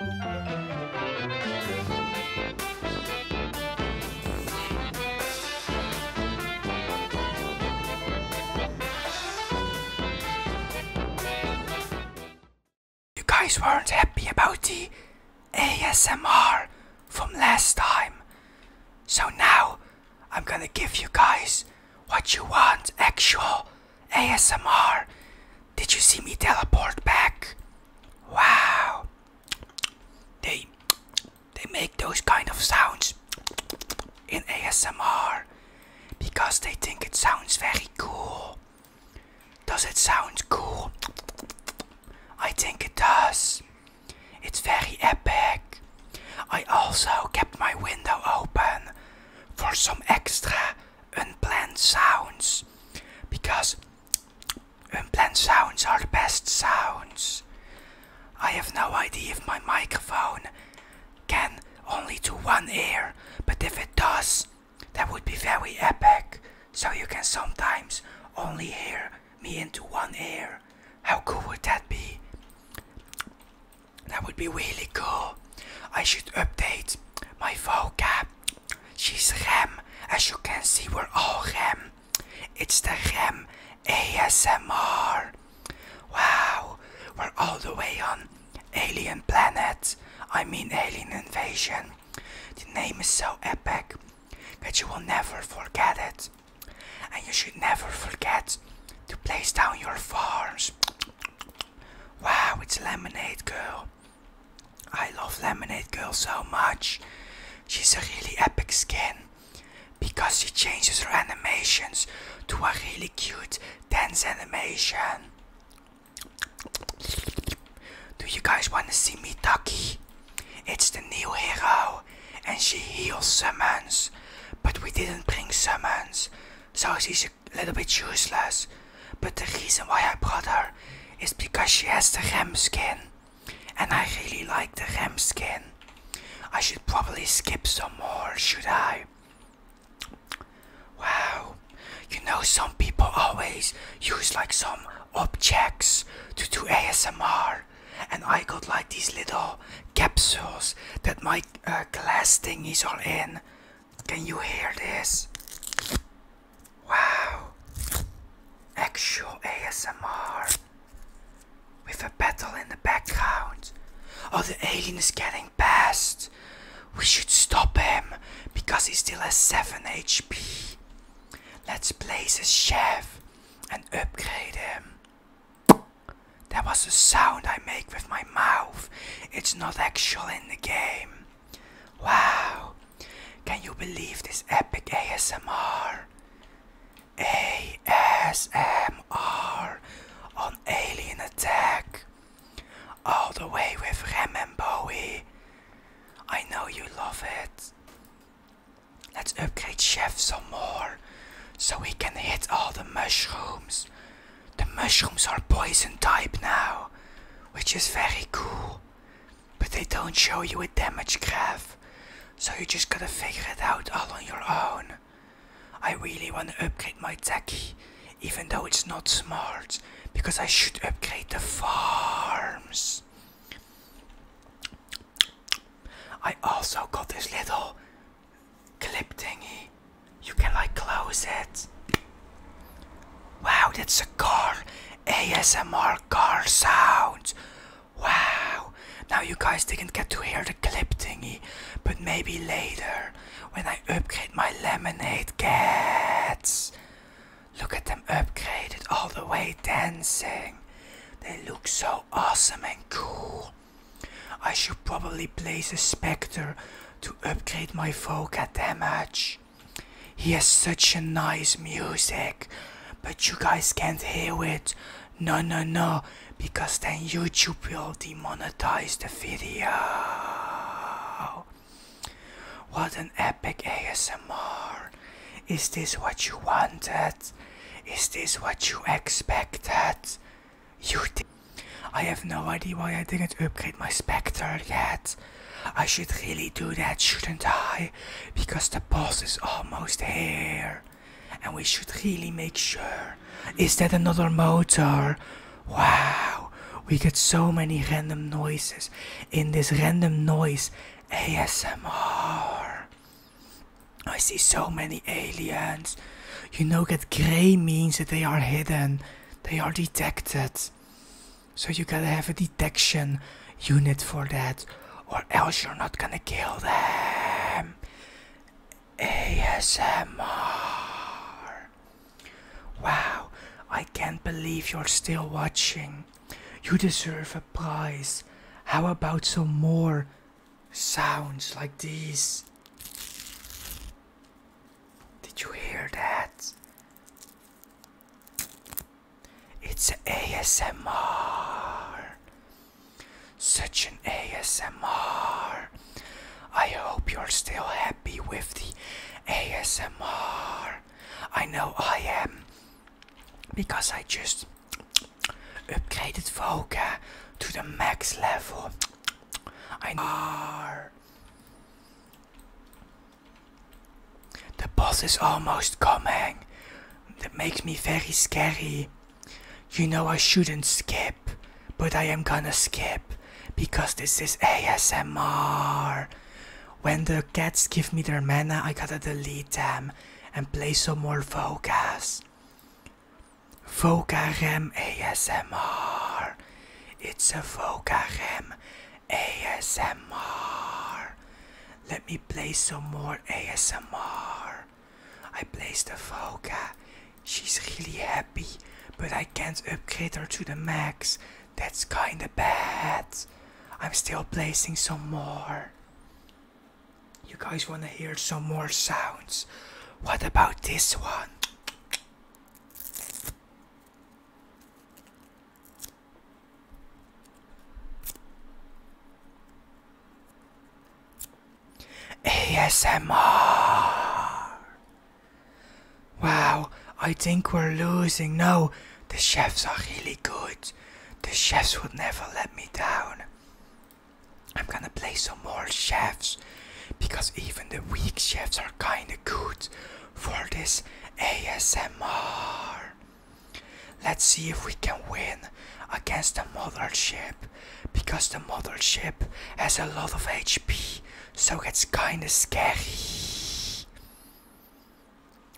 You guys weren't happy about the ASMR from last time. So now I'm gonna give you guys what you want actual ASMR did you see me teleport back? Wow. They they make those kind of sounds in ASMR because they think it sounds very cool. Does it sound cool? I think it does. It's very epic. I also kept my window open for some extra unplanned sounds because unplanned sounds are the best sounds. I have no idea if my microphone can only to one ear, but if it does, that would be very epic. So you can sometimes only hear me into one ear. How cool would that be? That would be really cool. I should update my vocab. She's Rem. As you can see, we're all Rem. It's the Rem ASMR. Wow, we're all the way on Alien Planet. I mean, Alien Invasion. The name is so epic that you will never forget it. And you should never forget to place down your farms. Wow, it's Lemonade Girl. I love Lemonade Girl so much. She's a really epic skin because she changes her animations to a really cute dance animation. Do you guys want to see me, Mitaki? It's the new hero and she heals summons, but we didn't bring summons, so she's a little bit useless. But the reason why I bought her is because she has the gem skin. And I really like the gem skin. I should probably skip some more, should I? Wow. You know, some people always use like some objects to do ASMR. And I got like these little capsules that my uh, glass is all in. Can you hear this? Wow. Actual ASMR. With a battle in the background. Oh, the alien is getting past. We should stop him because he still has 7 HP. Let's place a chef and upgrade him. That was a sound I make with my mouth. It's not actual in the game. Wow. Can you believe this epic ASMR? ASMR on Alien Attack. All the way with Rem and Bowie. I know you love it. Let's upgrade Chef some more so we can hit all the mushrooms. The mushrooms are poison type now, which is very cool. But they don't show you a damage graph, so you just gotta figure it out all on your own. I really wanna upgrade my techy, even though it's not smart, because I should upgrade the farms. I also got this little clip thingy. You can like close it. Wow, that's a car. ASMR car sounds. Wow. Now you guys didn't get to hear the clip thingy, but maybe later when I upgrade my lemonade cats. Look at them upgraded all the way dancing. They look so awesome and cool. I should probably place a Spectre to upgrade my vocal damage. He has such a nice music, but you guys can't hear it. No, no, no, because then YouTube will demonetize the video. What an epic ASMR. Is this what you wanted? Is this what you expected? You I have no idea why I didn't upgrade my Spectre yet. I should really do that, shouldn't I? Because the boss is almost here. And we should really make sure. Is that another motor? Wow, we get so many random noises in this random noise ASMR. I see so many aliens. You know that grey means that they are hidden, they are detected. So you gotta have a detection unit for that, or else you're not gonna kill them. ASMR. Wow, I can't believe you're still watching. You deserve a prize. How about some more sounds like these? Did you hear that? It's ASMR. Such an ASMR. I hope you're still happy with the ASMR. I know I am because I just upgraded Voca to the max level. the boss is almost coming. That makes me very scary. You know I shouldn't skip, but I am gonna skip because this is ASMR. When the cats give me their mana, I gotta delete them and play some more Vocas. Vocarem ASMR. It's a Vocarem ASMR. Let me play some more ASMR. I placed the Voca. She's really happy, but I can't upgrade her to the max that's kinda bad. I'm still placing some more. You guys wanna hear some more sounds? What about this one? ASMR. Wow, I think we're losing. No, the chefs are really good. The chefs would never let me down. I'm gonna play some more chefs because even the weak chefs are kinda good for this ASMR. Let's see if we can win against the ship because the ship has a lot of HP so it's kinda scary.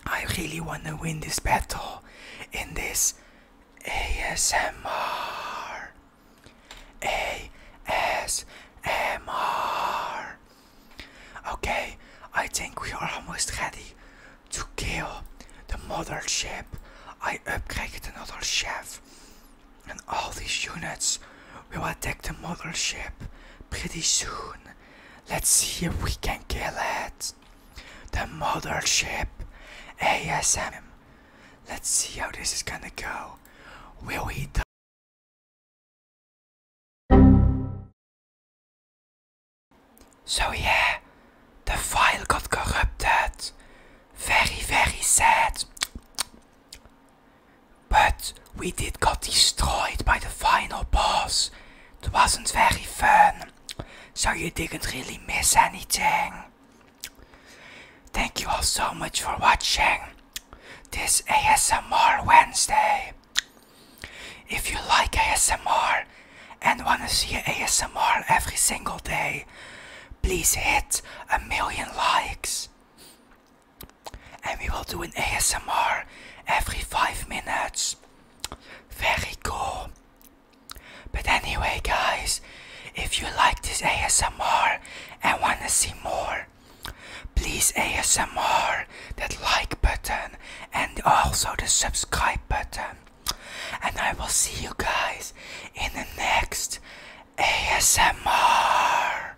I really want to win this battle in this ASMR. ASMR. Okay, I think we are almost ready to kill the model ship. I upgraded another ship, And all these units will attack the model ship pretty soon. Let's see if we can kill it. The mothership ASM. Let's see how this is gonna go. Will we die? So yeah, the file got corrupted. Very, very sad. But we did got destroyed by the final boss. It wasn't very fun, so you didn't really miss anything. Thank you all so much for watching this ASMR Wednesday. If you like ASMR and want to see ASMR every single day, please hit a million likes and we will do an ASMR every five minutes. Very cool. But anyway, guys, if you like this ASMR and want to see more, please ASMR that like button and also the subscribe button. And I will see you guys in the next ASMR.